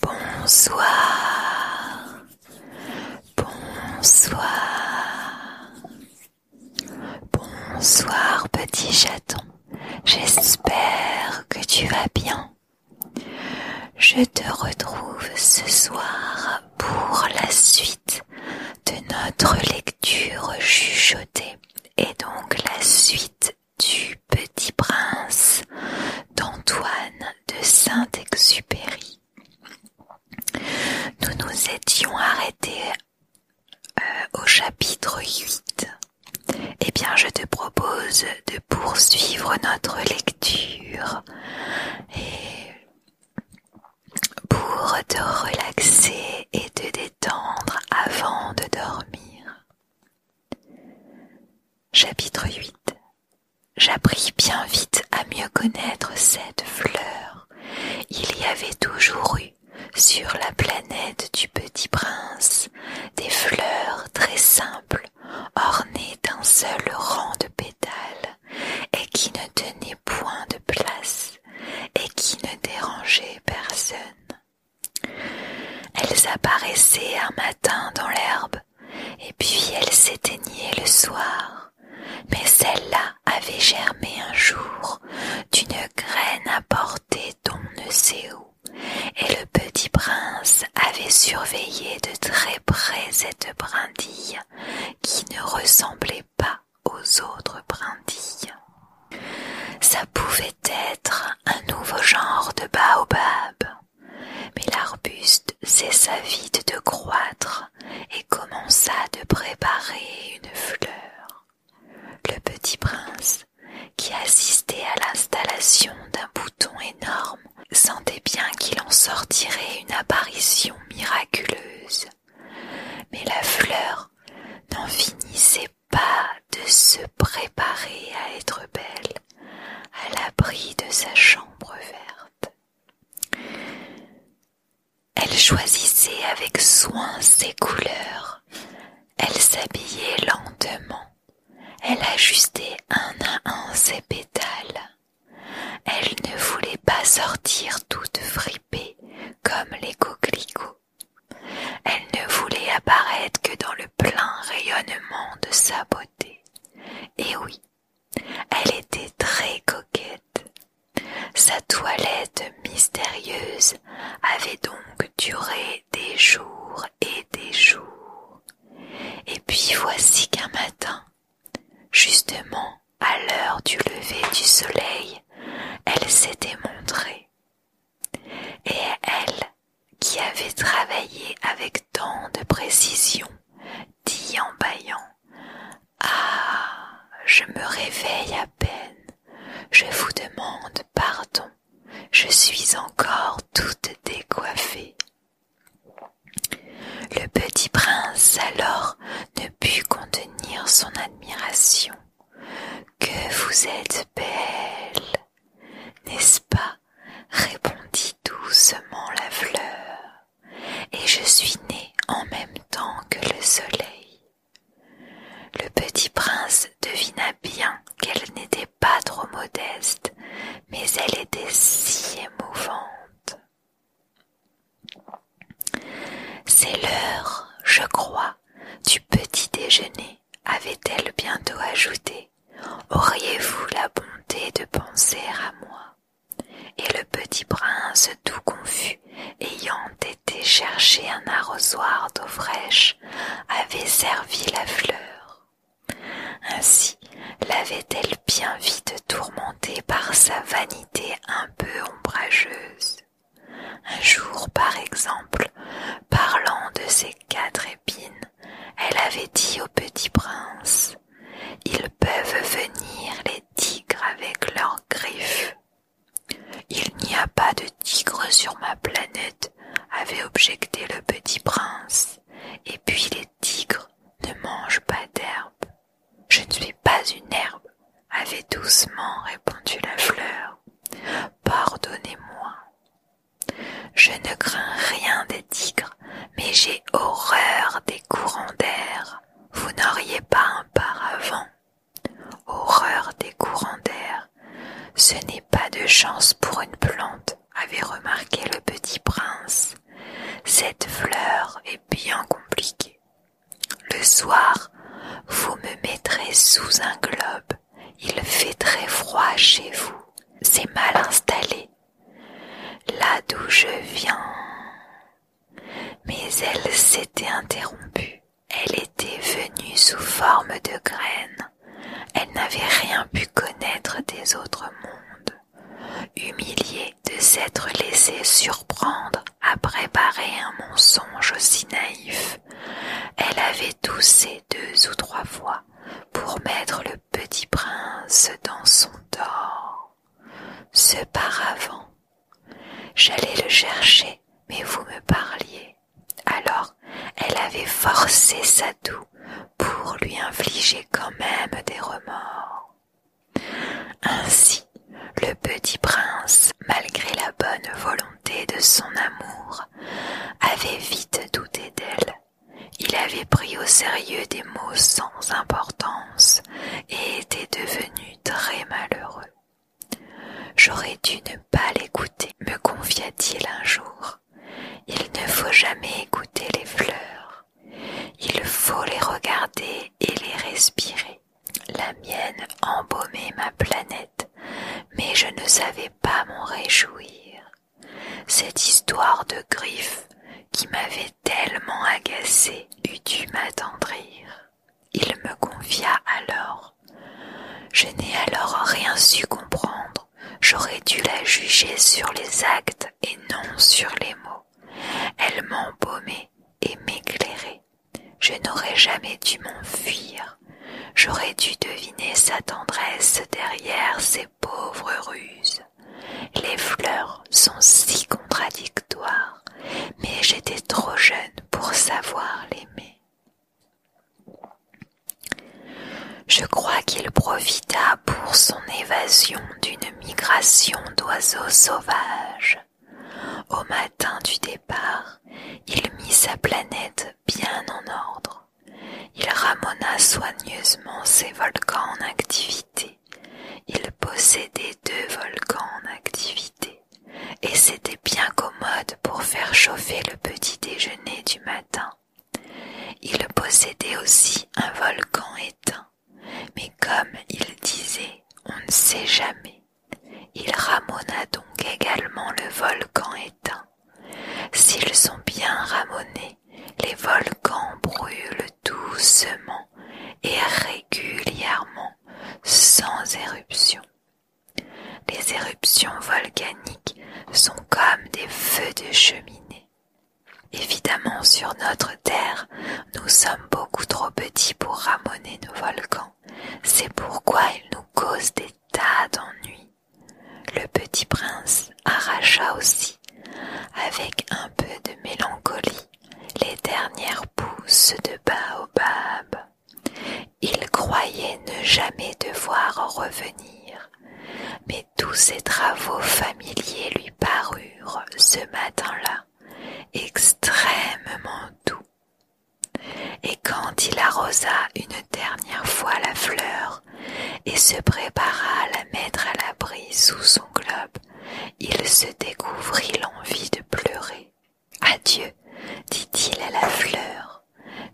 Bonsoir. Bonsoir. Bonsoir petit chaton. J'espère que tu vas bien. Je te retrouve ce soir pour la suite de notre lecture chuchotée et donc la suite du Petit Prince d'Antoine de Saint-Exupéry. Nous nous étions arrêtés euh, au chapitre 8. Eh bien, je te propose de poursuivre notre lecture et pour te relaxer et te détendre avant de dormir. Chapitre 8 J'appris bien vite à mieux connaître cette fleur. Il y avait toujours eu, sur la planète du petit prince, des fleurs très simples, ornées d'un seul rang de pétales, et qui ne tenaient point de place, et qui ne dérangeaient personne. Elles apparaissaient un matin dans l'herbe, et puis elles s'éteignaient le soir, mais celle-là avait germé un jour d'une graine apportée d'on ne sait où, et le petit prince avait surveillé de très près cette brindille qui ne ressemblait pas aux autres brindilles. Ça être un nouveau genre de baobab, mais l'arbuste cessa vite de croître et commença de préparer une fleur. Le petit prince, qui assistait à l'installation d'un bouton énorme, sentait bien qu'il en sortirait une apparition miraculeuse. Mais la fleur n'en finissait pas de se préparer à être belle à l'abri de sa chambre verte. Elle choisissait avec soin ses couleurs, elle s'habillait lentement, elle ajustait un à un ses pétales. Elle ne voulait pas sortir toute fripée comme les coquelicots. Elle ne voulait apparaître que dans le plein rayonnement de sa beauté. Et oui, elle était très coquette. Sa toilette mystérieuse avait donc duré des jours et des jours. Et puis voici qu'un matin, justement à l'heure du lever du soleil, elle s'était montrée et elle, qui avait travaillé avec tant de précision, dit en bâillant Ah, je me réveille à peine, je vous demande pardon, je suis encore toute décoiffée. Le petit prince alors ne put contenir son admiration. Que vous êtes belle, n'est-ce pas répondit doucement la fleur, et je suis née en même temps que le soleil. Le petit prince devina bien qu'elle n'était pas trop modeste, mais elle était si émouvante. C'est l'heure, je crois, du petit déjeuner, avait-elle bientôt ajouté auriez-vous la bonté de penser à moi Et le petit prince, tout confus, ayant été chercher un arrosoir d'eau fraîche, avait servi la fleur. Ainsi l'avait-elle bien vite tourmentée par sa vanité un peu ombrageuse. Un jour, par exemple, parlant de ses quatre épines, elle avait dit au petit prince, ils peuvent venir les tigres avec leurs griffes. Il n'y a pas de tigres sur ma planète, avait objecté le petit prince, et puis les tigres ne mangent pas d'herbe. Je ne suis pas une herbe, avait doucement répondu la fleur. Pardonnez-moi. Je ne crains rien des tigres, mais j'ai horreur des courants d'air. Vous n'auriez pas un paravent. Horreur des courants d'air. Ce n'est pas de chance pour une plante, avait remarqué le petit prince. Cette fleur est bien compliquée. Le soir, vous me mettrez sous un globe il fait très froid chez vous. C'est mal installé. Là d'où je viens. Mais elle s'était interrompue. Elle était venue sous forme de graine Elle n'avait rien pu connaître des autres mondes. Humiliée de s'être laissée surprendre à préparer un mensonge aussi naïf, elle avait toussé deux ou trois fois pour mettre le petit prince dans son Ce paravent, j'allais le chercher, mais vous me parliez. Alors, elle avait forcé sa doux pour lui infliger quand même des remords. Ainsi, le petit prince, malgré la bonne volonté de son amour, avait vite douté d'elle il avait pris au sérieux des mots sans importance et était devenu très malheureux. J'aurais dû ne pas l'écouter, me confia-t-il un jour. Il ne faut jamais écouter les fleurs. Il faut les regarder et les respirer. La mienne embaumait ma planète, mais je ne savais pas m'en réjouir. Cette histoire de griffe qui m'avait tellement agacée eût dû m'attendrir. Il me confia alors. Je n'ai alors rien su comprendre. J'aurais dû la juger sur les actes et non sur les mots. Elle m'embaumait et m'éclairait. Je n'aurais jamais dû m'enfuir J'aurais dû deviner sa tendresse derrière ses pauvres ruses. Les fleurs sont si contradictoires, mais j'étais trop jeune pour savoir l'aimer. Je crois qu'il profita pour son évasion d'une migration d'oiseaux sauvages. Au matin du départ, il mit sa planète bien en ordre. Il ramena soigneusement ses volcans en activité. Il possédait deux volcans en activité, et c'était bien commode pour faire chauffer le petit déjeuner du matin. Il possédait aussi un volcan éteint, mais comme il disait, on ne sait jamais. Il ramona donc également le volcan éteint. S'ils sont bien ramonés, les volcans brûlent doucement et régulièrement, sans éruption. Les éruptions volcaniques sont comme des feux de cheminée. Évidemment, sur notre Terre, nous sommes beaucoup trop petits pour ramonner nos volcans. C'est pourquoi ils nous causent des tas d'ennuis. Le petit prince arracha aussi, avec un peu de mélancolie, les dernières pousses de baobab. Il croyait ne jamais devoir revenir, mais tous ses travaux familiers lui parurent ce matin-là extrêmement doux. Et quand il arrosa une dernière fois la fleur et se prépara à la mettre à l'abri sous son globe, il se découvrit l'envie de pleurer. Adieu, dit-il à la fleur,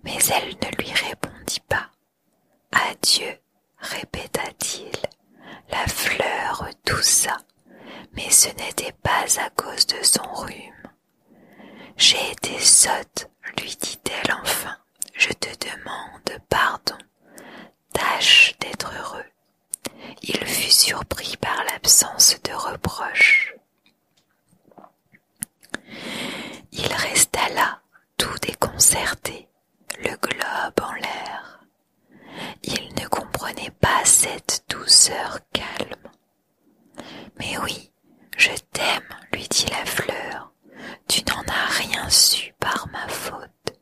mais elle ne lui répondit pas. Adieu, répéta-t-il. La fleur toussa, mais ce n'était pas à cause de son rhume. J'ai été sotte, lui dit-elle enfin je te demande pardon. Tâche d'être heureux. Il fut surpris par l'absence de reproche. Il resta là, tout déconcerté, le globe en l'air. Il ne comprenait pas cette douceur calme. Mais oui, je t'aime, lui dit la fleur. Tu n'en as rien su par ma faute.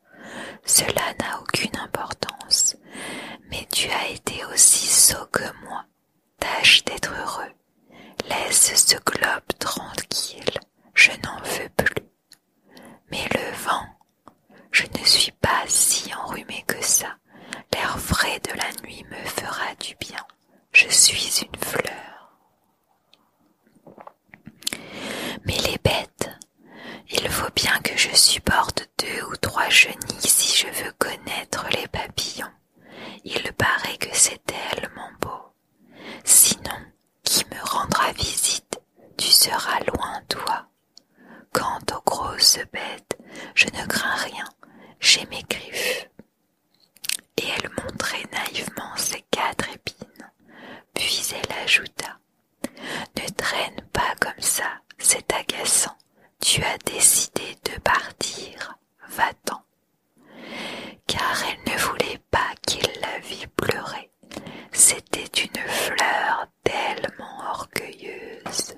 Cela n'a aucune importance. Mais tu as été aussi sot que moi. Tâche d'être heureux. Laisse ce globe tranquille. Je n'en veux plus. Mais le vent, je ne suis pas si enrhumé que ça. L'air frais de la nuit me fera du bien. Je suis une fleur. Mais les bêtes, il faut bien que je supporte deux ou trois chenilles si je veux connaître les papillons. Il paraît que c'est tellement beau. Sinon, qui me rendra visite, tu seras loin, toi. Quant aux grosses bêtes, je ne crains rien, j'ai mes griffes. Et elle montrait naïvement ses quatre épines, puis elle ajouta Ne traîne pas comme ça, c'est agaçant. Tu as décidé de partir, va-t'en. Car elle ne voulait pas qu'il la vît pleurer. C'était une fleur tellement orgueilleuse.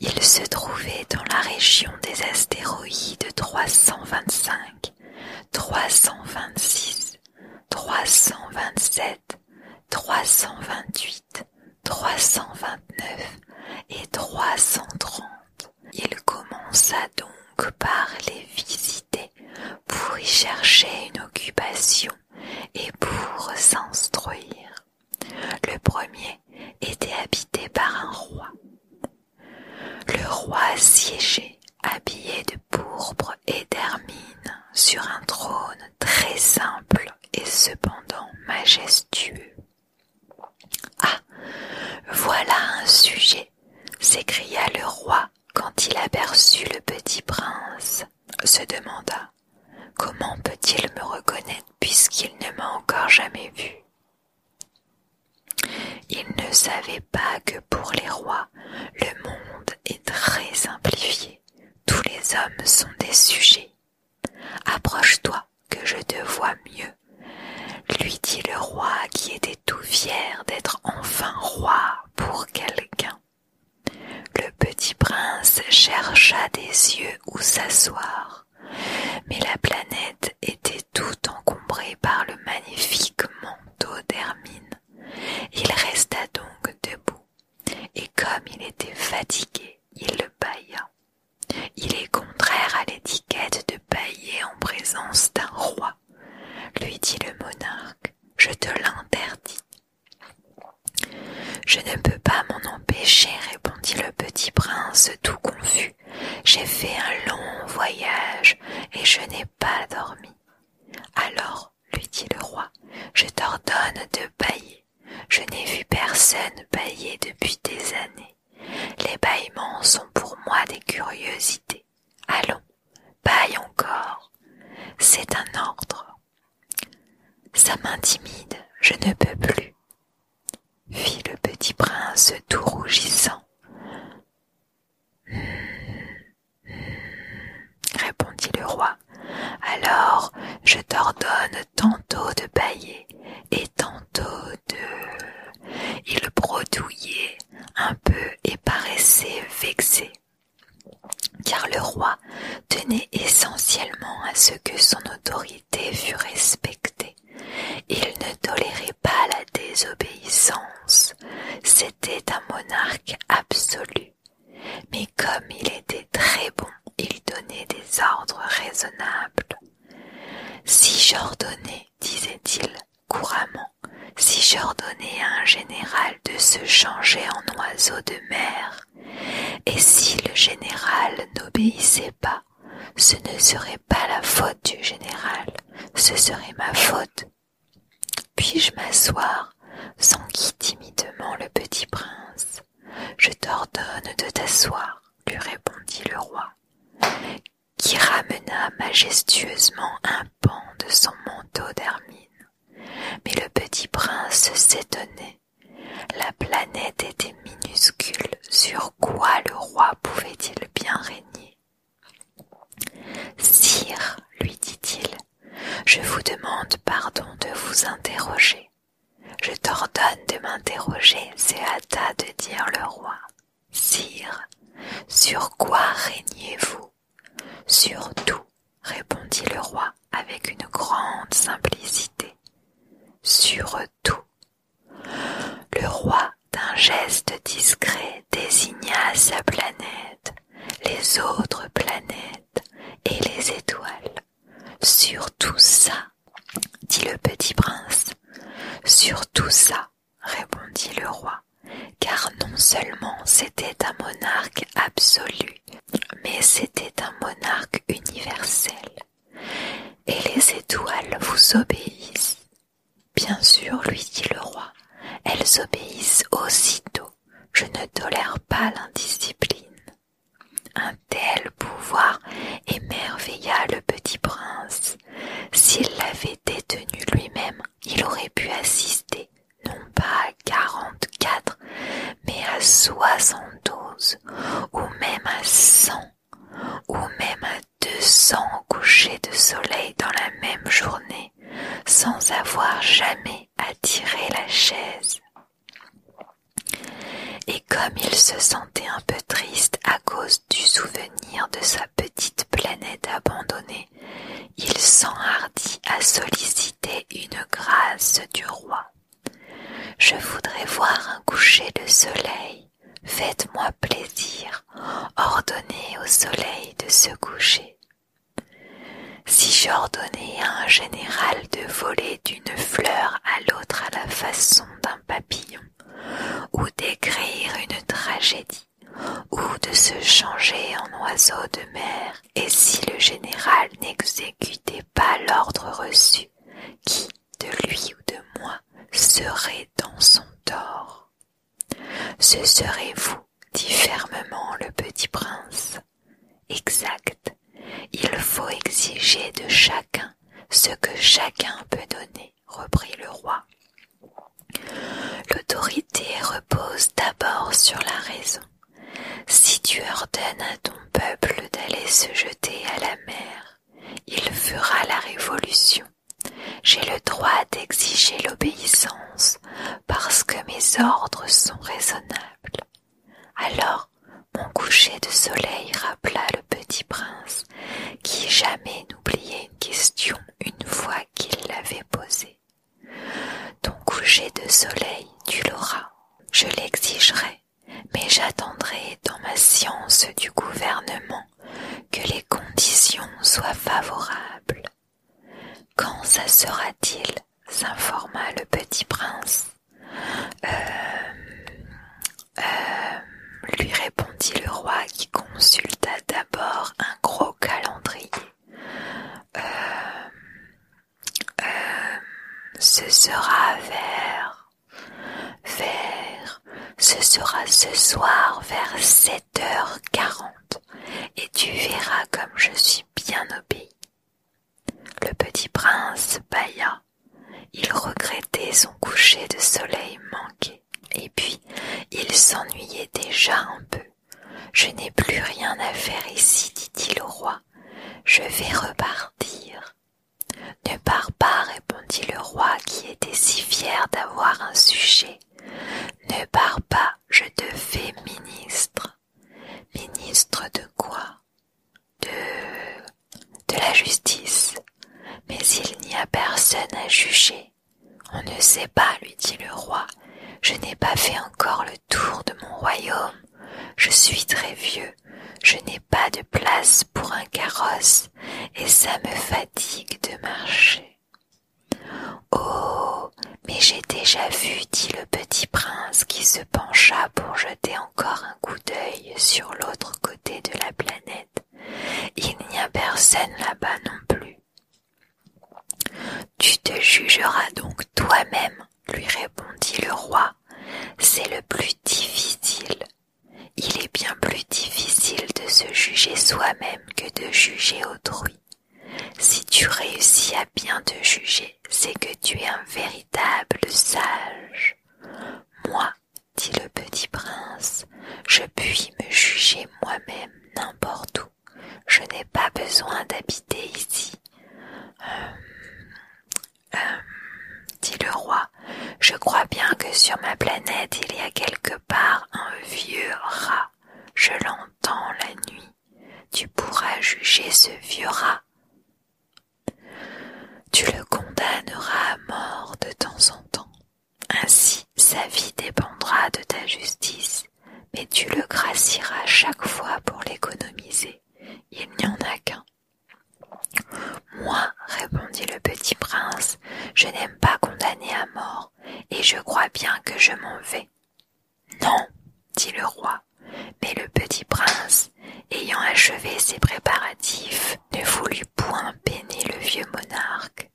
Il se trouvait dans la région des astéroïdes 325, 326, 327, 328, 329 et 330. Il commença donc par les visiter pour y chercher une occupation et pour s'instruire. Le premier était habité par un roi. Le roi siégeait, habillé de pourpre et d'hermine, sur un trône très simple et cependant majestueux. Ah. Voilà un sujet. s'écria le roi quand il aperçut le petit prince, se demanda. Comment peut il me reconnaître puisqu'il ne m'a encore jamais vu? Il ne savait pas que pour les rois, le monde est très simplifié. Tous les hommes sont des sujets. Approche-toi, que je te vois mieux, lui dit le roi qui était tout fier d'être enfin roi pour quelqu'un. Le petit prince chercha des yeux où s'asseoir mais la planète était tout encombrée par le magnifique manteau d'Hermine. Il resta donc debout, et comme il était fatigué, il le bailla. Il est contraire à l'étiquette de bâiller en présence d'un roi, lui dit le monarque, je te l'interdis. Je ne peux pas m'en empêcher, répondit le petit prince tout confus j'ai fait un long voyage et je n'ai pas dormi. Alors, lui dit le roi, je t'ordonne de bailler. Je n'ai vu personne bailler depuis des années. Les bâillements sont pour moi des curiosités. Allons, baille encore. C'est un ordre. Ça m'intimide, je ne peux plus fit le petit prince tout rougissant. répondit le roi. Alors je t'ordonne tantôt de bailler et tantôt de. Il brodouillait un peu et paraissait vexé, car le roi tenait essentiellement à ce que son autorité fût respectée. Il ne tolérait pas la désobéissance. C'était un monarque absolu. Mais comme il était très bon, il donnait des ordres raisonnables. Si j'ordonnais, disait-il couramment, si j'ordonnais à un général de se changer en oiseau de mer, et si le général n'obéissait pas, ce ne serait pas la faute du général, ce serait ma faute. Puis-je m'asseoir s'enquit timidement le petit prince. Je t'ordonne de t'asseoir, lui répondit le roi, qui ramena majestueusement un pan de son manteau d'hermine. Mais le petit prince s'étonnait. La planète était minuscule. Sur quoi le roi pouvait-il bien régner Sire, lui dit-il, je vous demande pardon de vous interroger. Je t'ordonne de m'interroger, c'est à de dire le roi. Sire, sur quoi régnez-vous Sur tout, répondit le roi avec une grande simplicité. Sur tout, le roi, d'un geste discret, désigna sa planète, les autres planètes et les étoiles. Sur tout ça, dit le petit prince. Sur tout ça, répondit le roi, car non seulement c'était un monarque absolu, mais c'était un monarque universel. Et les étoiles vous obéissent, Bien sûr, lui dit le roi, elles obéissent aussitôt. Je ne tolère pas l'indiscipline. Un tel pouvoir émerveilla le petit prince. S'il l'avait détenu lui-même, il aurait pu assister non pas à quarante-quatre, mais à soixante-douze, ou même à cent ou même à cents couchers de soleil dans la même journée sans avoir jamais attiré la chaise. Et comme il se sentait un peu triste à cause du souvenir de sa petite planète abandonnée, il s'enhardit à solliciter une grâce du roi. Je voudrais voir un coucher de soleil faites-moi plaisir, ordonnez au soleil de se coucher. Si j'ordonnais à un général de voler d'une fleur à l'autre à la façon d'un papillon, ou d'écrire une tragédie, ou de se changer en oiseau de mer, et si le général n'exécutait pas l'ordre reçu, qui, de lui ou de moi, serait dans son tort ce serez vous, dit fermement le petit prince. Exact. Il faut exiger de chacun ce que chacun peut donner, reprit le roi. L'autorité repose d'abord sur la raison. Si tu ordonnes à ton peuple d'aller se jeter à la mer, il fera la révolution. J'ai le droit d'exiger l'obéissance parce que mes ordres sont raisonnables. Alors mon coucher de soleil rappela le petit prince, qui jamais n'oubliait une question une fois qu'il l'avait posée. Ton coucher de soleil, tu l'auras. Je l'exigerai, mais j'attendrai dans ma science du gouvernement que les conditions soient favorables. Quand ça sera-t-il s'informa le petit prince. Euh, euh, lui répondit le roi qui consulta d'abord un gros calendrier. Euh, ce sera vers, vers, ce sera ce soir vers sept et tu verras comme je suis bien obéi. » Le petit prince bailla. Il regrettait son coucher de soleil manqué. Et puis, il s'ennuyait déjà un peu. Je n'ai plus rien à faire ici, dit-il au roi. Je vais repartir. Ne pars pas, répondit le roi qui était si fier d'avoir un sujet. Ne pars pas, je te fais ministre. Ministre de quoi De... de la justice. Mais il n'y a personne à juger. On ne sait pas, lui dit le roi. Je n'ai pas fait encore le tour de mon royaume. Je suis très vieux. Je n'ai pas de place pour un carrosse et ça me fatigue de marcher. Oh. Mais j'ai déjà vu, dit le petit prince, qui se pencha pour jeter encore un coup d'œil sur l'autre côté de la planète. Il n'y a personne là-bas non plus. Tu te jugeras donc toi-même, lui répondit le roi. C'est le plus difficile. Il est bien plus difficile de se juger soi-même que de juger autrui. Si tu réussis à bien te juger, c'est que tu es un véritable sage. Moi, dit le petit prince, je puis me juger moi-même n'importe où. Je n'ai pas besoin d'habiter ici. Euh, euh, dit le roi, je crois bien que sur ma planète il y a quelque « Par un vieux rat, je l'entends la nuit. Tu pourras juger ce vieux rat. Tu le condamneras à mort de temps en temps. Ainsi sa vie dépendra de ta justice, mais tu le gracieras chaque fois pour l'économiser. Il n'y en a qu'un. Moi, répondit le petit prince, je n'aime pas condamner à mort et je crois bien que je m'en vais. Non, dit le roi, mais le petit prince, ayant achevé ses préparatifs, ne voulut point peiner le vieux monarque.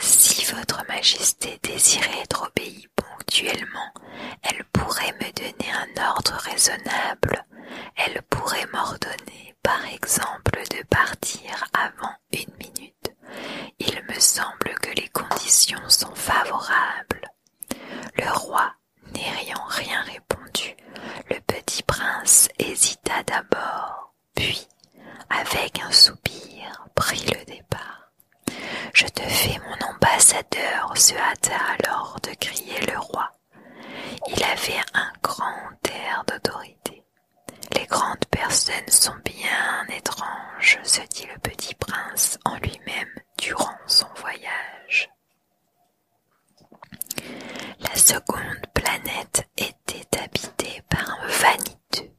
Si votre majesté désirait être obéie ponctuellement, elle pourrait me donner un ordre raisonnable, elle pourrait m'ordonner, par exemple, de partir avant une minute, il me semble que les conditions sont favorables. Le roi n'ayant rien répondu, le petit prince hésita d'abord, puis, avec un soupir, prit le départ. Je te fais mon ambassadeur, se hâta alors de crier le roi. Il avait un grand air d'autorité. Les grandes personnes sont bien étranges, se dit le petit prince en lui-même durant son voyage. La seconde planète était habitée par un vaniteux.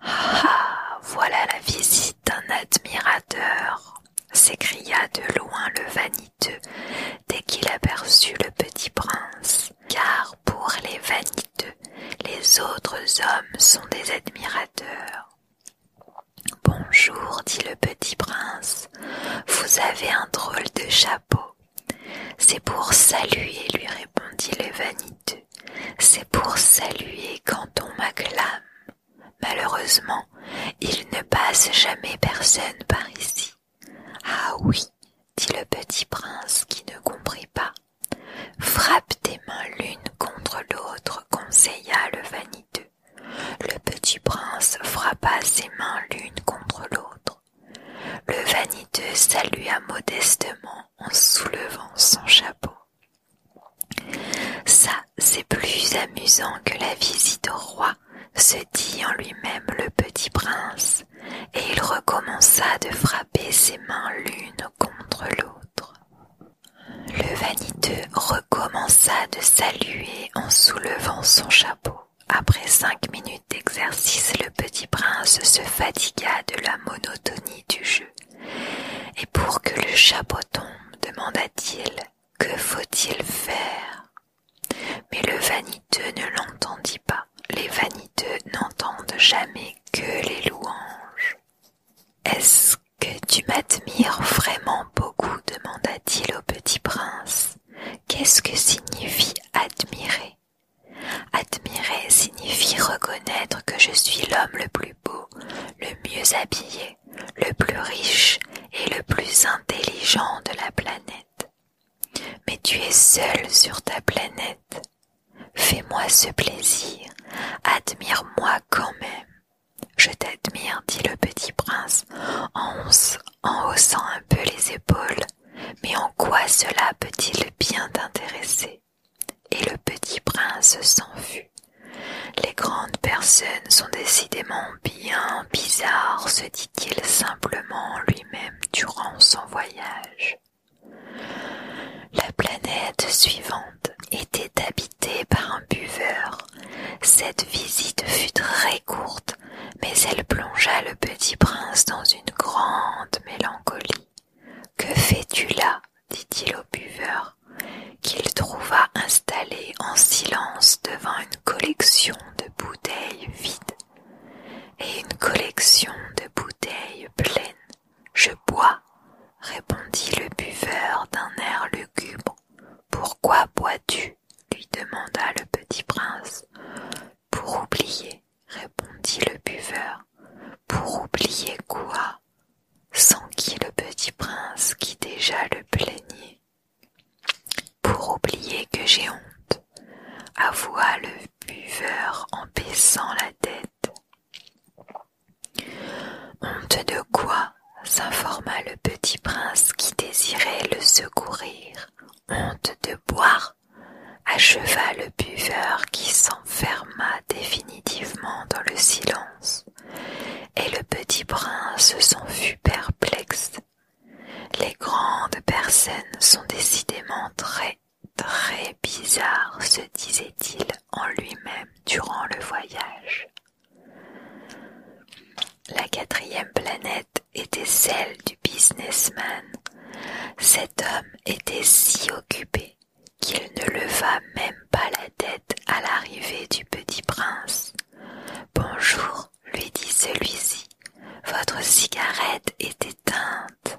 Ah, ah voilà la visite d'un admirateur s'écria de loin le vaniteux dès qu'il aperçut le petit prince car pour les vaniteux, les autres hommes sont des admirateurs. Bonjour, dit le petit prince, vous avez un drôle de chapeau. C'est pour saluer, lui répondit le vaniteux, c'est pour saluer quand on m'acclame. Malheureusement, il ne passe jamais personne par ici. Ah oui, dit le petit prince qui ne comprit pas. Frappe tes mains l'une contre l'autre, conseilla le vaniteux. Le petit prince frappa ses mains l'une contre l'autre. Le vaniteux salua modestement en soulevant son chapeau. Ça, c'est plus amusant que la visite au roi, se dit en lui-même le petit prince et il recommença de frapper ses mains l'une contre l'autre. Le vaniteux recommença de saluer en soulevant son chapeau. Après cinq minutes d'exercice, le petit prince se fatigua de la monotonie du jeu. Et pour que le chapeau tombe, demanda-t-il, que faut-il faire Mais le vaniteux ne l'entendit pas les vaniteux n'entendent jamais que les louanges. Est-ce que tu m'admires vraiment beaucoup demanda-t-il au petit prince. Qu'est-ce que signifie admirer Admirer signifie reconnaître que je suis l'homme le plus beau, le mieux habillé, le plus riche et le plus intelligent de la planète. Mais tu es seul sur ta planète. Fais-moi ce plaisir, admire-moi quand même. Je t'admire, dit le petit prince, en, haussant un peu les épaules. Mais en quoi cela peut-il bien t'intéresser Et le petit prince fut. « Les grandes personnes sont décidément bien bizarres, se dit-il simplement lui-même durant son voyage. La planète suivante était habitée par un buveur. Cette visite fut très courte, mais elle plongea le petit prince dans une grande mélancolie. Que fais-tu là dit-il au buveur, qu'il trouva installé en silence devant une collection de bouteilles vides et une collection de bouteilles pleines. Je bois, répondit le buveur d'un air lugubre. Pourquoi bois-tu lui demanda le petit prince. Pour oublier, répondit le buveur. Pour oublier quoi S'enquit le petit prince qui déjà le plaignait. Pour oublier que j'ai honte, avoua le buveur en baissant la tête. Honte de quoi? s'informa le petit prince qui désirait le secourir. Honte de boire? acheva le buveur qui s'enferma définitivement dans le silence, et le petit prince s'en fut perplexe. Les grandes personnes sont décidément très très bizarre, se disait-il en lui-même durant le voyage. La quatrième planète était celle du businessman. Cet homme était si occupé qu'il ne leva même pas la tête à l'arrivée du petit prince. Bonjour, lui dit celui-ci. Votre cigarette est éteinte.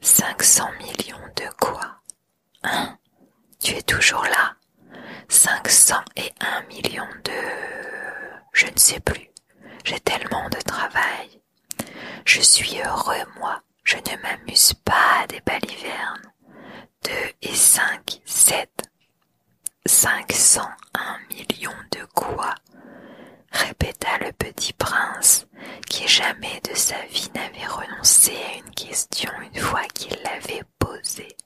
Cinq millions de quoi Hein Tu es toujours là Cinq cent et un millions de... Je ne sais plus. J'ai tellement de travail. Je suis heureux, moi. Je ne m'amuse pas à des balivernes. Deux et cinq, sept. Cinq cent un millions de quoi répéta le petit prince, qui jamais de sa vie n'avait renoncé à une question une fois qu'il l'avait posée.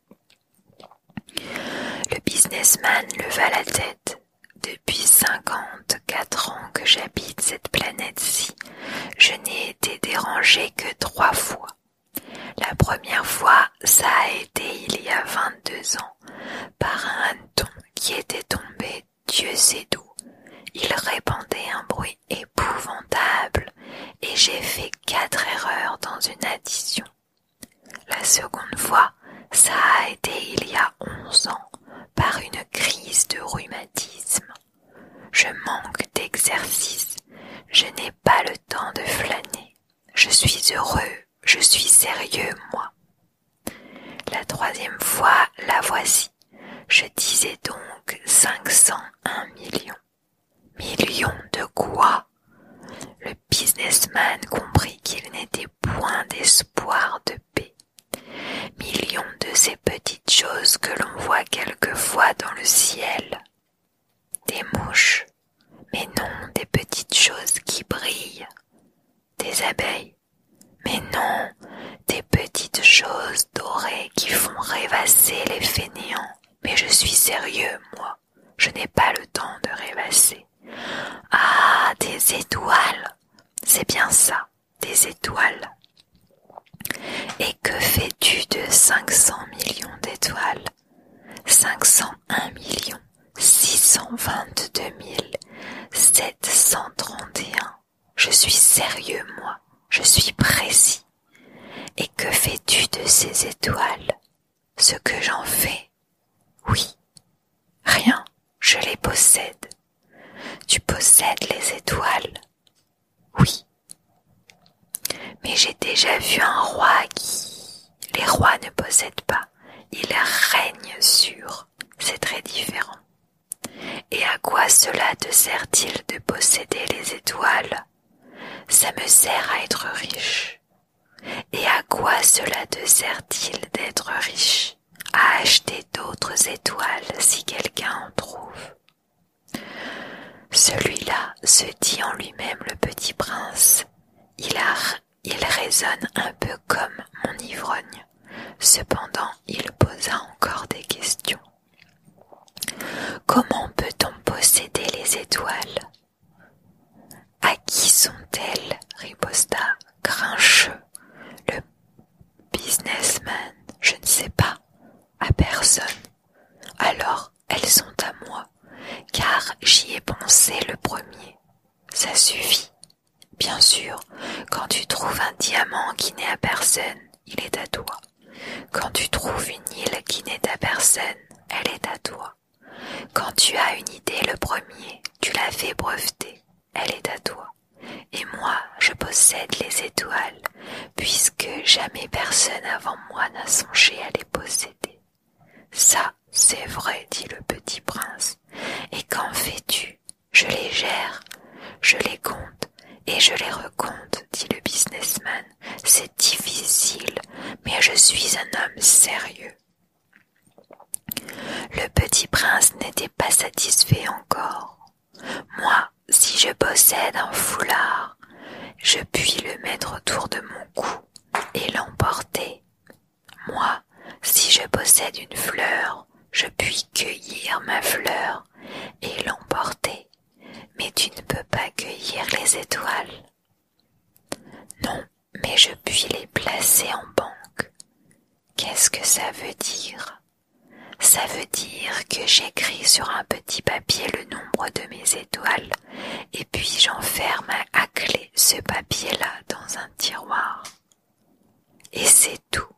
Le businessman leva la tête. Depuis cinquante-quatre ans que j'habite cette planète-ci, je n'ai été dérangé que trois fois. La première fois, ça a été il y a vingt-deux ans, par un ton qui était tombé Dieu sait d'où, il répandait un bruit épouvantable, et j'ai fait quatre erreurs dans une addition. La seconde fois, ça a été il y a onze ans, par une crise de rhumatisme. Je manque d'exercice, je n'ai pas le temps de flâner. Je suis heureux, je suis sérieux, moi. La troisième fois, la voici. Je disais donc cinq cent millions. Millions de quoi Le businessman comprit qu'il n'était point d'espoir de paix. Millions de ces petites choses que l'on voit quelquefois dans le ciel. Des mouches, mais non des petites choses qui brillent. Des abeilles, mais non, des petites choses dorées qui font rêvasser les fainéants. Mais je suis sérieux, moi. Je n'ai pas le temps de rêvasser. Ah, des étoiles. C'est bien ça, des étoiles. Et que fais-tu de 500 millions d'étoiles 501 millions 622 731 je suis sérieux, moi, je suis précis. Et que fais-tu de ces étoiles Ce que j'en fais Oui. Rien, je les possède. Tu possèdes les étoiles Oui. Mais j'ai déjà vu un roi qui... Les rois ne possèdent pas, ils règnent sur. C'est très différent. Et à quoi cela te sert-il de posséder les étoiles Ça me sert à être riche. Et à quoi cela te sert-il d'être riche À acheter d'autres étoiles si quelqu'un en trouve. Celui-là se dit en lui-même le petit prince. Il, a, il raisonne un peu comme mon ivrogne. Cependant, il posa encore des questions. Comment peut-on posséder les étoiles À qui sont-elles riposta Grincheux, le businessman. Je ne sais pas, à personne. Alors, elles sont à moi, car j'y ai pensé le premier. Ça suffit, Bien sûr, quand tu trouves un diamant qui n'est à personne, il est à toi. Quand tu trouves une île qui n'est à personne, elle est à toi. Quand tu as une idée le premier, tu la fais breveter, elle est à toi. Et moi, je possède les étoiles, puisque jamais personne avant moi n'a songé à les posséder. Ça, c'est vrai, dit le petit prince. Et qu'en fais-tu je les gère, je les compte et je les recompte, dit le businessman. C'est difficile, mais je suis un homme sérieux. Le petit prince n'était pas satisfait encore. Moi, si je possède un foulard, je puis le mettre autour de mon cou et l'emporter. Moi, si je possède une fleur, je puis cueillir ma fleur et l'emporter, mais tu ne peux pas cueillir les étoiles. Non, mais je puis les placer en banque. Qu'est-ce que ça veut dire Ça veut dire que j'écris sur un petit papier le nombre de mes étoiles et puis j'enferme à clé ce papier-là dans un tiroir. Et c'est tout.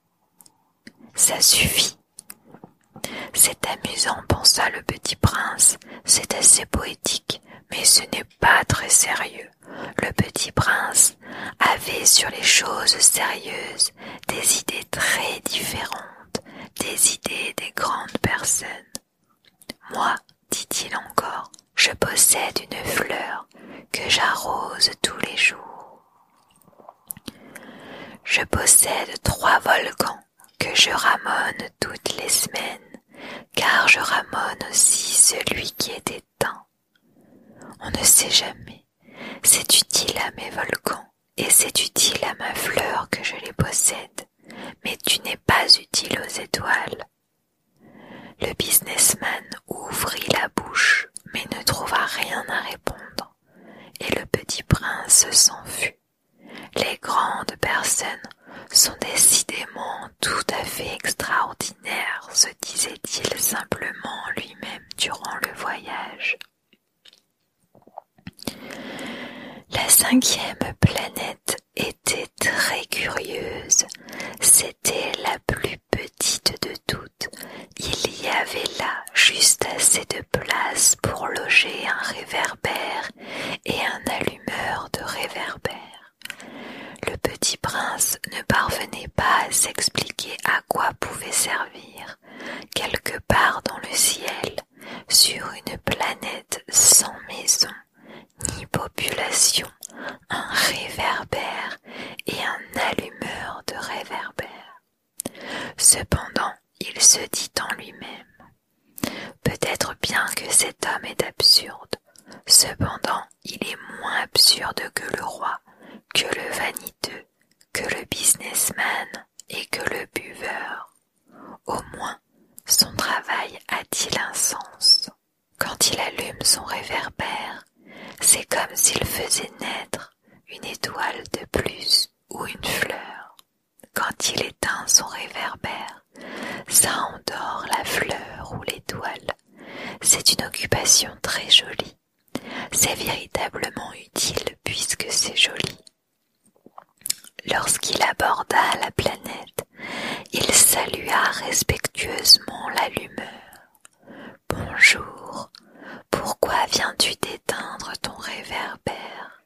Ça suffit. C'est amusant, pensa le petit prince, c'est assez poétique, mais ce n'est pas très sérieux. Le petit prince avait sur les choses sérieuses des idées très différentes des idées des grandes personnes. Moi, dit-il encore, je possède une fleur que j'arrose tous les jours. Je possède trois volcans que je ramone toutes les semaines, car je ramone aussi celui qui est éteint. On ne sait jamais. C'est utile à mes volcans et c'est utile à ma fleur que je les possède, mais tu n'es pas utile aux étoiles. Le businessman ouvrit la bouche, mais ne trouva rien à répondre et le petit prince s'en s'enfuit. Les grandes personnes sont décidément tout à fait extraordinaires, se disait-il simplement lui-même durant le voyage. La cinquième planète était très curieuse. C'était la plus petite de toutes il y avait là juste assez de place pour loger un réverbère et un allumeur de réverbère. Le petit prince ne parvenait pas à s'expliquer à quoi pouvait servir, quelque part dans le ciel, sur une planète sans maison, ni population, un réverbère et un allumeur de réverbère. Cependant, il se dit en lui-même Peut-être bien que cet homme est absurde, cependant il est moins absurde que le roi, que le vaniteux, que le businessman et que le buveur. Au moins, son travail a-t-il un sens Quand il allume son réverbère, c'est comme s'il faisait naître une étoile de plus ou une fleur. Quand il éteint son réverbère, ça endort la fleur ou l'étoile. C'est une occupation très jolie. C'est véritablement utile puisque c'est joli. Lorsqu'il aborda la planète, il salua respectueusement la l'allumeur. Bonjour, pourquoi viens-tu d'éteindre ton réverbère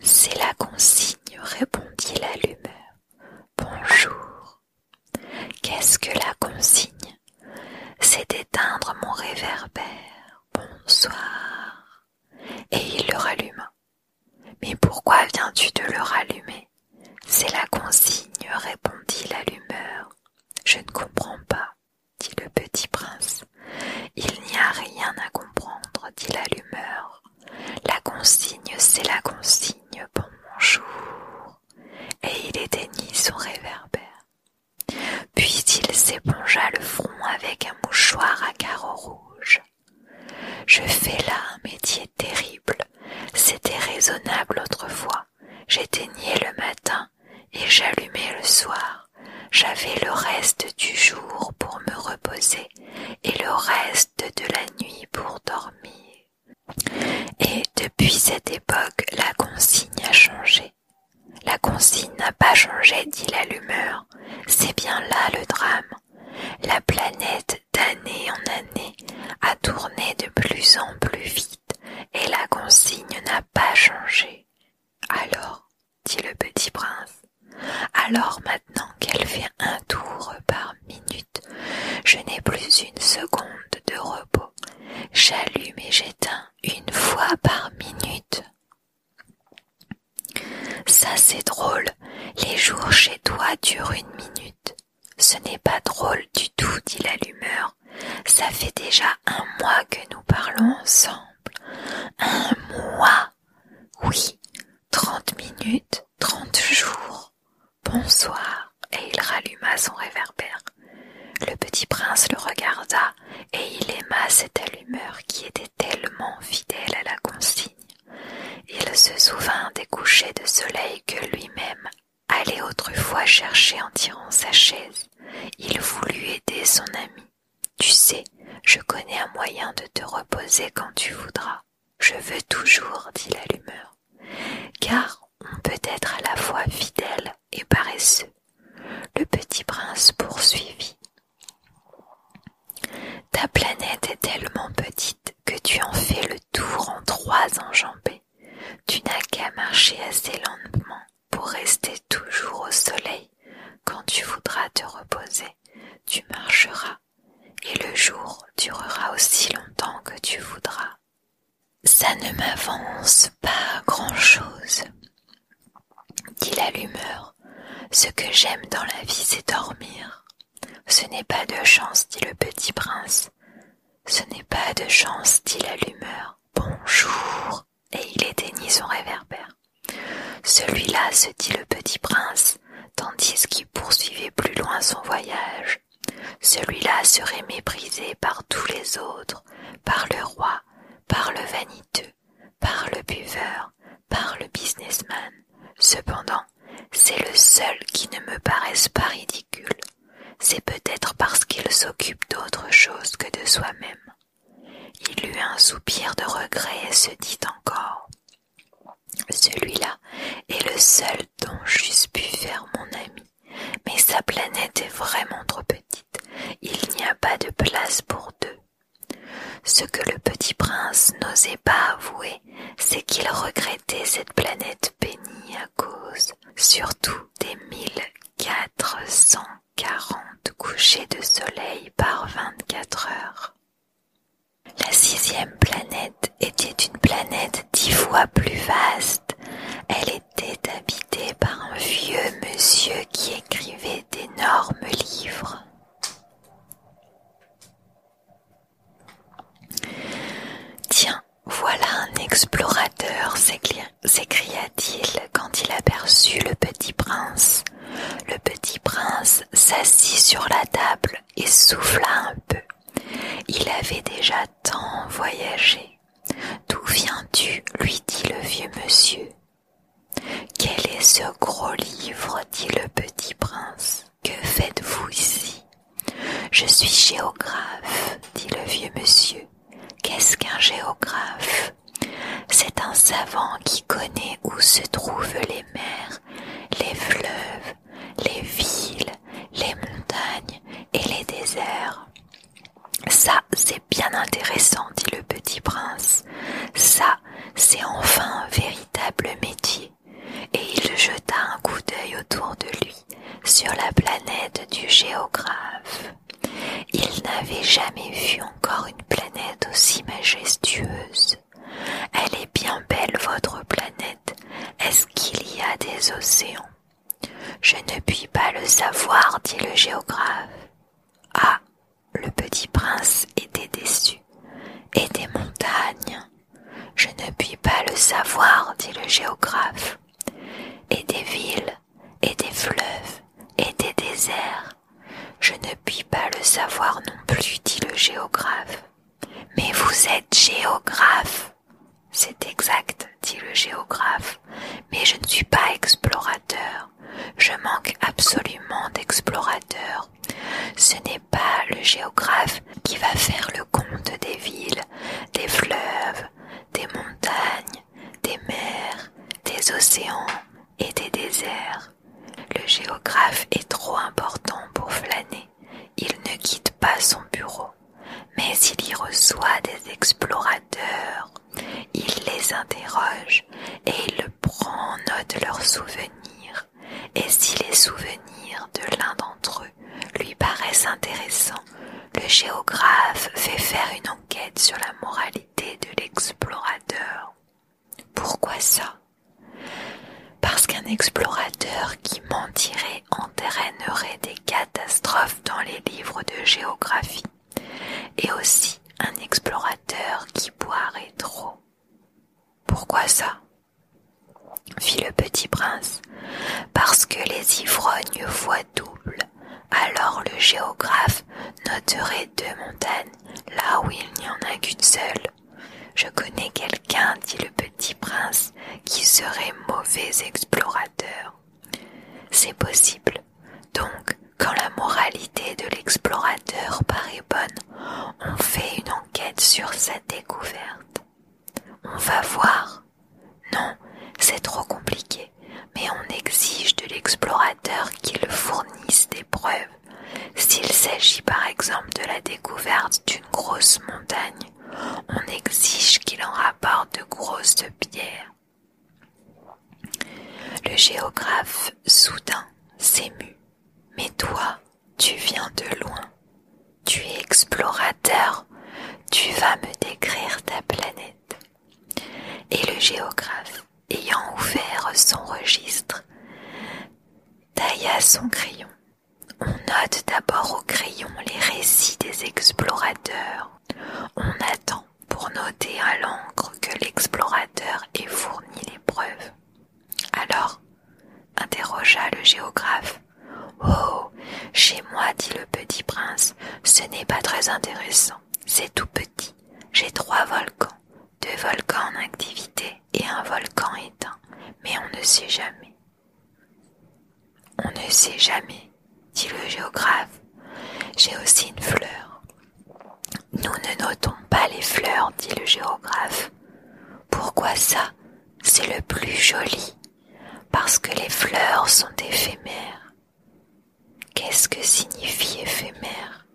C'est la consigne, répondit l'allumeur. Bonjour. Qu'est-ce que la consigne C'est d'éteindre mon réverbère. Bonsoir. Et il le ralluma. Mais pourquoi viens-tu de le rallumer C'est la consigne, répondit l'allumeur. Je ne comprends pas dit le petit prince. Il n'y a rien à comprendre, dit l'allumeur. La consigne, c'est la consigne, bonjour. Et il éteignit son réverbère. Puis il s'épongea le front avec un mouchoir à carreaux rouges. Je fais là un métier terrible. C'était raisonnable autrefois. J'éteignais le matin et j'allumais le soir. J'avais le reste du jour pour me reposer et le reste de la nuit pour dormir. Et depuis cette époque, la consigne a changé. La consigne n'a pas changé, dit l'allumeur. C'est bien là le drame. La planète, d'année en année, a tourné de plus en plus vite et la consigne n'a pas changé. Alors, dit le petit prince, alors maintenant qu'elle fait un tour par minute, je n'ai plus une seconde de repos. J'allume et j'éteins une fois par minute. Ça c'est drôle, les jours chez toi durent une minute. Ce n'est pas drôle du tout, dit l'allumeur. Ça fait déjà un mois que nous parlons ensemble. Un mois. Oui, trente minutes, trente jours. Bonsoir. Et il ralluma son réverbère. Le petit prince le regarda, et il aima cette allumeur qui était tellement fidèle à la consigne. Il se souvint des couchers de soleil que lui-même allait autrefois chercher en tirant sa chaise. Il voulut aider son ami. Tu sais, je connais un moyen de te reposer quand tu voudras. Je veux toujours, dit l'allumeur, car on peut être à la fois fidèle et paresseux. Le petit prince poursuivit. Ta planète est tellement petite que tu en fais le tour en trois enjambées. Tu n'as qu'à marcher assez lentement pour rester toujours au soleil. Quand tu voudras te reposer, tu marcheras, et le jour durera aussi longtemps que tu voudras. Ça ne m'avance pas grand-chose, dit l'allumeur, « Ce que j'aime dans la vie, c'est dormir. Ce n'est pas de chance, dit le petit prince. Ce n'est pas de chance, dit l'allumeur, « Bonjour, et il éteignit son réverbère. Celui-là, se dit le petit prince, tandis qu'il poursuivait plus loin son voyage. Celui-là serait méprisé par tous les autres, par le roi, par le vaniteux, par le buveur, par le businessman. Cependant, c'est le seul qui ne me paraisse pas ridicule. C'est peut-être parce qu'il s'occupe d'autre chose que de soi-même. Il eut un soupir de regret et se dit encore Celui-là est le seul dont j'eusse pu faire mon ami, mais sa planète est vraiment trop petite, il n'y a pas de place pour deux. Ce que le petit prince n'osait pas avouer, c'est qu'il regrettait cette planète bénie à cause surtout des mille quatre cents. 40 couchers de soleil par 24 heures. La sixième planète était une planète dix fois plus vaste. Elle était habitée par un vieux monsieur qui écrivait d'énormes livres. Tiens, voilà un explorateur, clair s'écria-t-il quand il aperçut le petit prince. Le petit prince s'assit sur la table et souffla un peu. Il avait déjà tant voyagé. D'où viens-tu lui dit le vieux monsieur. Quel est ce gros livre dit le petit prince. Que faites-vous ici Je suis géographe, dit le vieux monsieur. Qu'est-ce qu'un géographe c'est un savant qui connaît où se trouvent les mers, les fleuves, les villes, les montagnes et les déserts. Ça, c'est bien intéressant, dit le petit prince. Ça, c'est enfin un véritable métier. Et il jeta un coup d'œil autour de lui sur la planète du géographe. Il n'avait jamais vu encore une planète aussi majestueuse. Elle est bien belle, votre planète. Est-ce qu'il y a des océans Je ne puis pas le savoir, dit le géographe. Ah le petit prince était déçu. Et des montagnes Je ne puis pas le savoir, dit le géographe. Et des villes, et des fleuves, et des déserts. Je ne puis pas le savoir non plus, dit le géographe. Mais vous êtes géographe. C'est exact, dit le géographe, mais je ne suis pas explorateur. Je manque absolument d'explorateur. Ce n'est pas le géographe qui va faire le compte des villes, des fleuves, des montagnes, des mers, des océans et des déserts. Le géographe est trop important pour flâner. Il ne quitte pas son bureau, mais il y reçoit des explorateurs. Il les interroge et il prend en note leurs souvenirs. Et si les souvenirs de l'un d'entre eux lui paraissent intéressants, le géographe fait faire une enquête sur la moralité de l'explorateur. Pourquoi ça Parce qu'un explorateur qui mentirait entraînerait des catastrophes dans les livres de géographie, et aussi un explorateur qui boirait trop. Pourquoi ça fit le petit prince, parce que les ivrognes voient double alors le géographe noterait deux montagnes, là où il n'y en a qu'une seule. Je connais quelqu'un, dit le petit prince, qui serait mauvais explorateur. C'est possible. Donc, quand la moralité de l'explorateur paraît bonne, on fait une enquête sur sa découverte. On va voir. Non, c'est trop compliqué mais on exige de l'explorateur qu'il fournisse des preuves. S'il s'agit par exemple de la découverte d'une grosse montagne, on exige qu'il en rapporte de grosses pierres. Le géographe soudain s'émut. Mais toi, tu viens de loin. Tu es explorateur. Tu vas me décrire ta planète. Et le géographe ayant ouvert son registre, tailla son crayon. On note d'abord au crayon les récits des explorateurs. On attend pour noter à l'encre que l'explorateur ait fourni les preuves. Alors, interrogea le géographe. Oh. Chez moi, dit le petit prince, ce n'est pas très intéressant c'est tout petit. J'ai trois volcans, deux volcans en activité et un volcan éteint, mais on ne sait jamais. On ne sait jamais, dit le géographe. J'ai aussi une fleur. Nous ne notons pas les fleurs, dit le géographe. Pourquoi ça C'est le plus joli. Parce que les fleurs sont éphémères. Qu'est-ce que signifie éphémère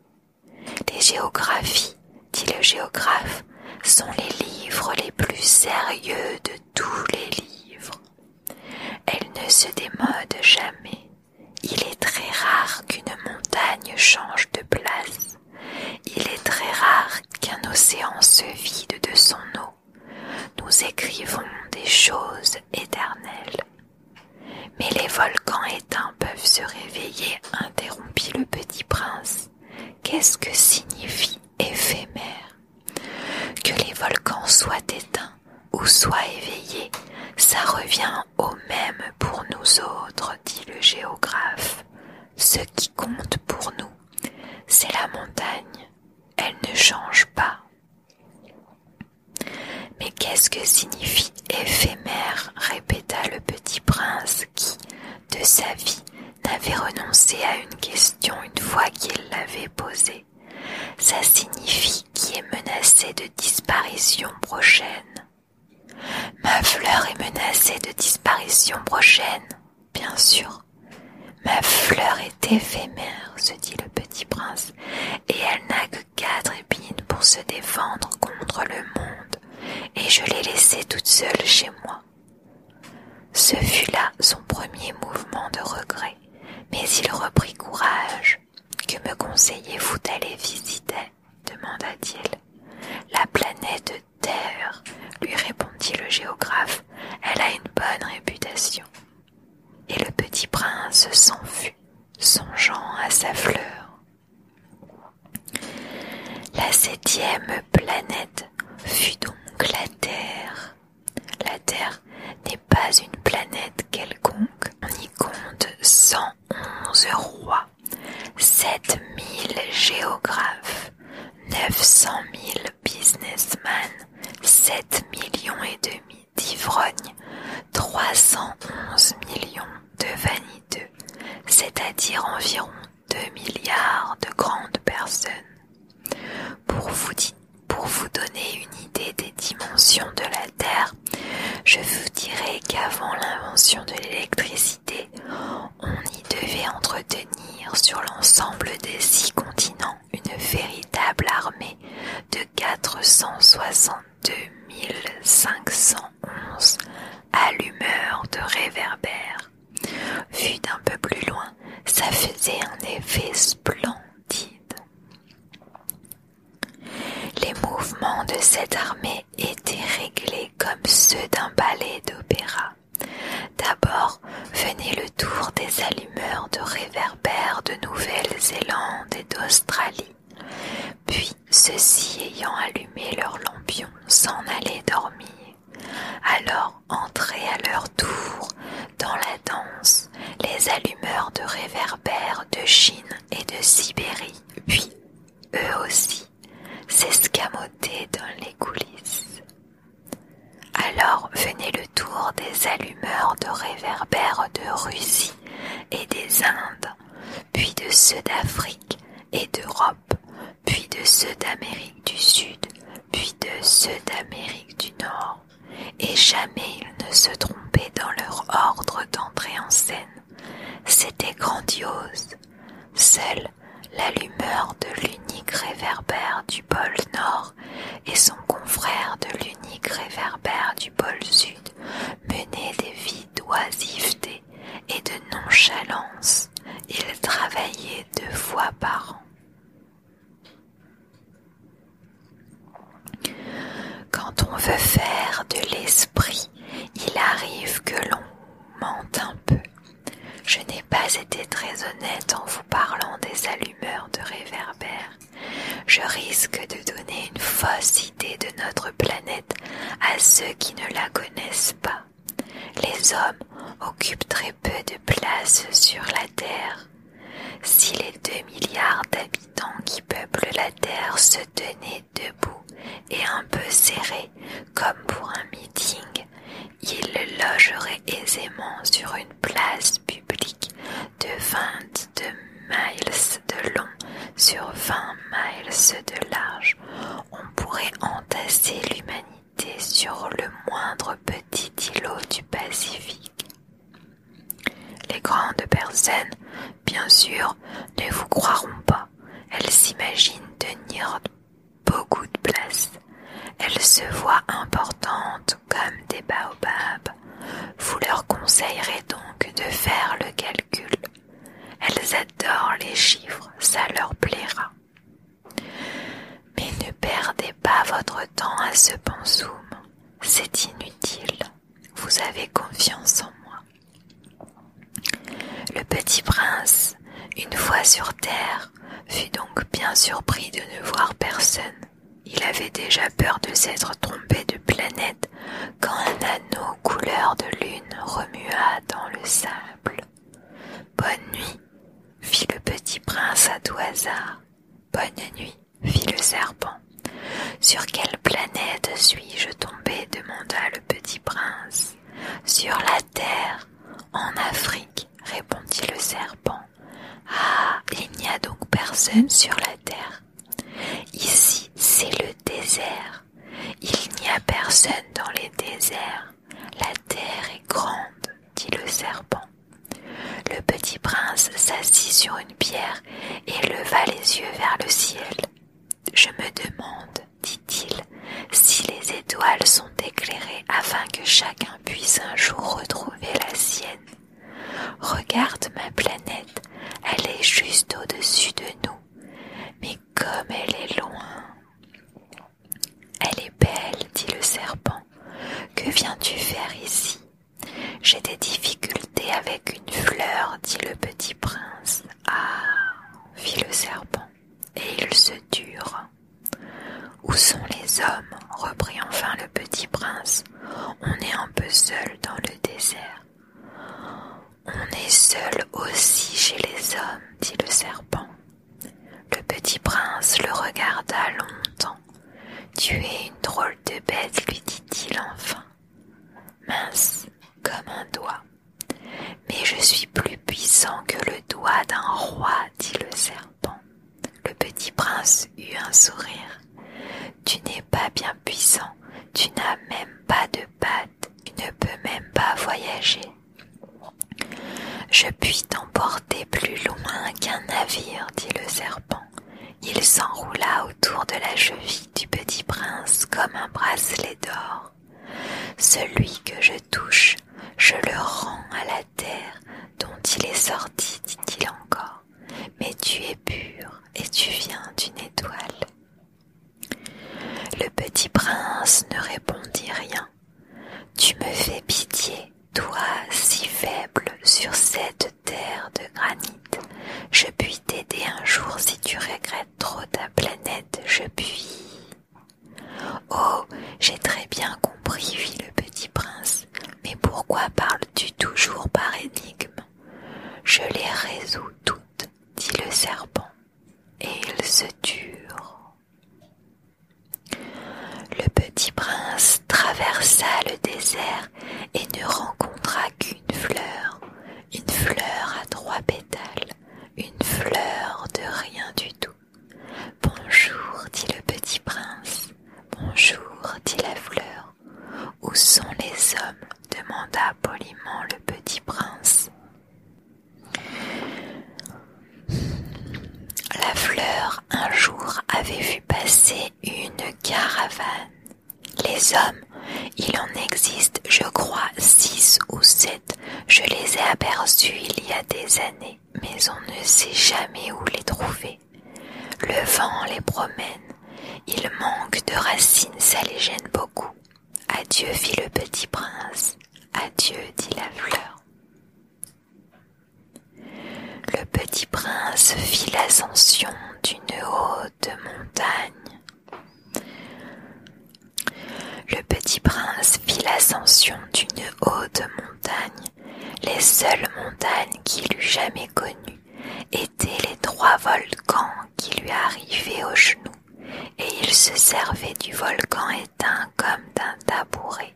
Les géographies, dit le géographe, sont les livres les plus sérieux de tous les livres. Elles ne se démodent jamais. Il est très rare qu'une montagne change de place. Il est très rare qu'un océan se vide de son eau. Nous écrivons des choses éternelles. Mais les volcans éteints peuvent se réveiller, interrompit le petit prince. Qu'est-ce que signifie éphémère Que les volcans soient éteints ou soient éveillés, ça revient au même pour nous autres, dit le géographe. Ce qui compte pour nous, c'est la montagne. Elle ne change pas. Mais qu'est-ce que signifie éphémère répéta le petit prince qui, de sa vie, n'avait renoncé à une question une fois qu'il l'avait posée. Ça signifie qui est menacé de disparition prochaine. Ma fleur est menacée de disparition prochaine, bien sûr. Ma fleur est éphémère, se dit le petit prince, et elle n'a quatre épines pour se défendre contre le monde, et je l'ai laissée toute seule chez moi. Ce fut là son premier mouvement de regret, mais il reprit courage. Que me conseillez-vous d'aller visiter demanda-t-il. La planète Terre, lui répondit le géographe, elle a une bonne réputation. Et le petit prince s'enfuit songeant à sa fleur. La septième planète fut donc la Terre. La Terre n'est pas une planète quelconque. On y compte 111 rois, 7000 géographes, 900 000 businessmen, 7 millions et demi d'ivrogne, 311 millions de vaniteux, c'est-à-dire environ 2 milliards de grandes personnes. Pour vous, pour vous donner une idée des dimensions de la Terre, je vous dirai qu'avant l'invention de l'électricité, on y devait entretenir sur l'ensemble des six continents une véritable armée de 460 2511 allumeur de réverbères. Vu d'un peu plus loin, ça faisait un effet splendide. Les mouvements de cette armée étaient réglés comme ceux d'un ballet d'opéra. D'abord venait le tour des allumeurs de réverbères de Nouvelle-Zélande et d'Australie. Puis, ceux-ci ayant allumé leurs lampions, s'en allaient dormir. Alors entraient à leur tour dans la danse les allumeurs de réverbères de Chine et de Sibérie, puis eux aussi s'escamotaient dans les coulisses. Alors venait le tour des allumeurs de réverbères de Russie et des Indes puis de ceux d'Afrique et d'Europe, puis de ceux d'Amérique du Sud, puis de ceux d'Amérique du Nord, et jamais ils ne se trompaient dans leur ordre d'entrée en scène. C'était grandiose. Seule la lumeur de l'unique réverbère du pôle Nord et son confrère de l'unique réverbère du pôle Sud menaient des vies d'oisiveté et de nonchalance. Il travaillaient deux fois par an. Quand on veut faire de l'esprit, il arrive que l'on mente un peu. Je n'ai pas été très honnête en vous parlant des allumeurs de réverbères. Je risque de donner une fausse de notre planète à ceux qui ne la connaissent pas. Les hommes occupent très peu de place sur la Terre. Si les deux milliards d'habitants qui peuplent la Terre se tenaient debout et un peu serrés comme pour un meeting, ils logeraient aisément sur une place publique de de miles de long sur 20 miles de large, on pourrait entasser l'humanité sur le moindre petit îlot du Pacifique. Les grandes personnes, bien sûr, ne vous croiront pas. Elles s'imaginent tenir beaucoup de place. Elles se voient importantes comme des baobabs. Vous leur conseillerez donc de faire le elles adorent les chiffres, ça leur plaira. Mais ne perdez pas votre temps à ce zoom. C'est inutile. Vous avez confiance en moi. Le petit prince, une fois sur terre, fut donc bien surpris de ne voir personne. Il avait déjà peur de s'être trompé de planète quand un anneau couleur de lune remua dans le sable. Bonne nuit, fit le petit prince à tout hasard. Bonne nuit, fit le serpent. Sur quelle planète suis-je tombé demanda le petit prince. Sur la terre, en Afrique, répondit le serpent. Ah, il n'y a donc personne sur la terre. Ici, c'est le désert. Il n'y a personne dans les déserts. La terre est grande, dit le serpent. Le petit prince s'assit sur une pierre et leva les yeux vers le ciel. Je me demande, dit-il, si les étoiles sont éclairées afin que chacun puisse un jour retrouver la sienne. Regarde ma planète, elle est juste au-dessus de nous. Mais comme elle est loin. Elle est belle, dit le serpent. Que viens-tu faire ici J'ai des difficultés avec une fleur, dit le petit prince. Ah fit le serpent, et il se dure. Où sont les hommes reprit enfin le petit prince. On est un peu seul dans le désert. On est seul aussi chez les hommes, dit le serpent. Le petit prince le regarda longtemps. Tu es une drôle de bête, lui dit-il enfin. Mince comme un doigt. Mais je suis plus puissant que le doigt d'un roi, dit le serpent. Le petit prince eut un sourire. Tu n'es pas bien puissant, tu n'as même pas de pattes, tu ne peux même pas voyager. Je puis t'emporter plus loin qu'un navire, dit le serpent. Il s'enroula autour de la cheville du petit prince comme un bracelet d'or. Celui que je touche, je le rends à la terre dont il est sorti, dit-il encore. Mais tu es pur et tu viens d'une étoile. Le petit prince ne répondit rien. Tu me fais pitié, toi si faible sur cette terre de granit. Je puis t'aider un jour si tu regrettes trop ta planète, je puis. Oh, j'ai très bien compris, fit le petit prince, mais pourquoi parles-tu toujours par énigme Je les résous toutes, dit le serpent, et ils se turent. Le petit prince traversa le désert et ne rencontra qu'une fleur, une fleur à trois pétales, une fleur de rien du tout. Bonjour, dit le petit prince, bonjour, dit la fleur, où sont les hommes demanda poliment le petit prince. La fleur un jour avait vu passer une caravane. Les hommes, il en existe, je crois, six ou sept. Je les ai aperçus il y a des années, mais on ne sait jamais où les trouver. Le vent les promène. Ils manquent de racines, ça les gêne beaucoup. Adieu, fit le petit prince, adieu, dit la fleur. Le petit prince fit l'ascension d'une haute montagne. Le petit prince fit l'ascension d'une haute montagne. Les seules montagnes qu'il eût jamais connues étaient les trois volcans qui lui arrivait aux genoux, et il se servait du volcan éteint comme d'un tabouret.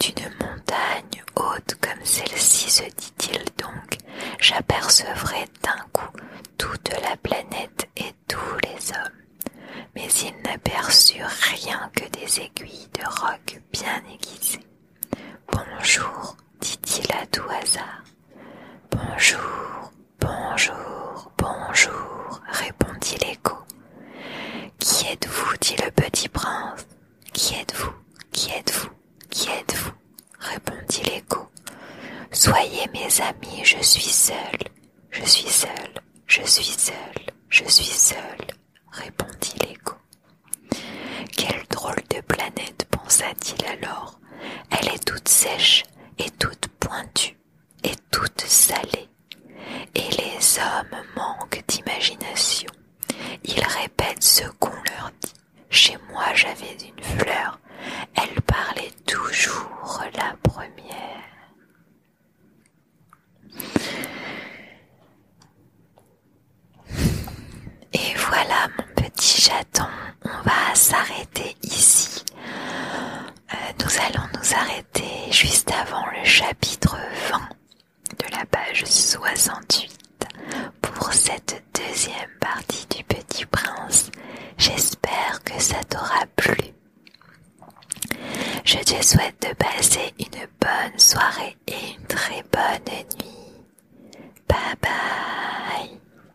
D'une montagne haute comme celle-ci, se dit-il donc, j'apercevrai d'un coup toute la planète et tous les hommes. Mais il n'aperçut rien que des aiguilles de roc bien aiguisées. Bonjour, dit-il à tout hasard. Bonjour, bonjour, bonjour, répondit l'écho. Qui êtes-vous dit le petit prince. Qui êtes-vous Qui êtes-vous Qui êtes-vous répondit l'écho. Soyez mes amis, je suis seul, je suis seul, je suis seul, je suis seul, répondit l'écho. Quelle drôle de planète, pensa-t-il alors. Elle est toute sèche et est toute pointue et toute salée, et les hommes manquent d'imagination. Ils répètent ce qu'on leur dit. Chez moi j'avais une fleur, elle parlait toujours la première. Et voilà mon petit chaton on va s'arrêter ici. Euh, nous allons nous arrêter juste avant le chapitre 20 de la page 68 pour cette deuxième partie du Petit Prince. J'espère que ça t'aura plu. Je te souhaite de passer une bonne soirée et une très bonne nuit. Bye bye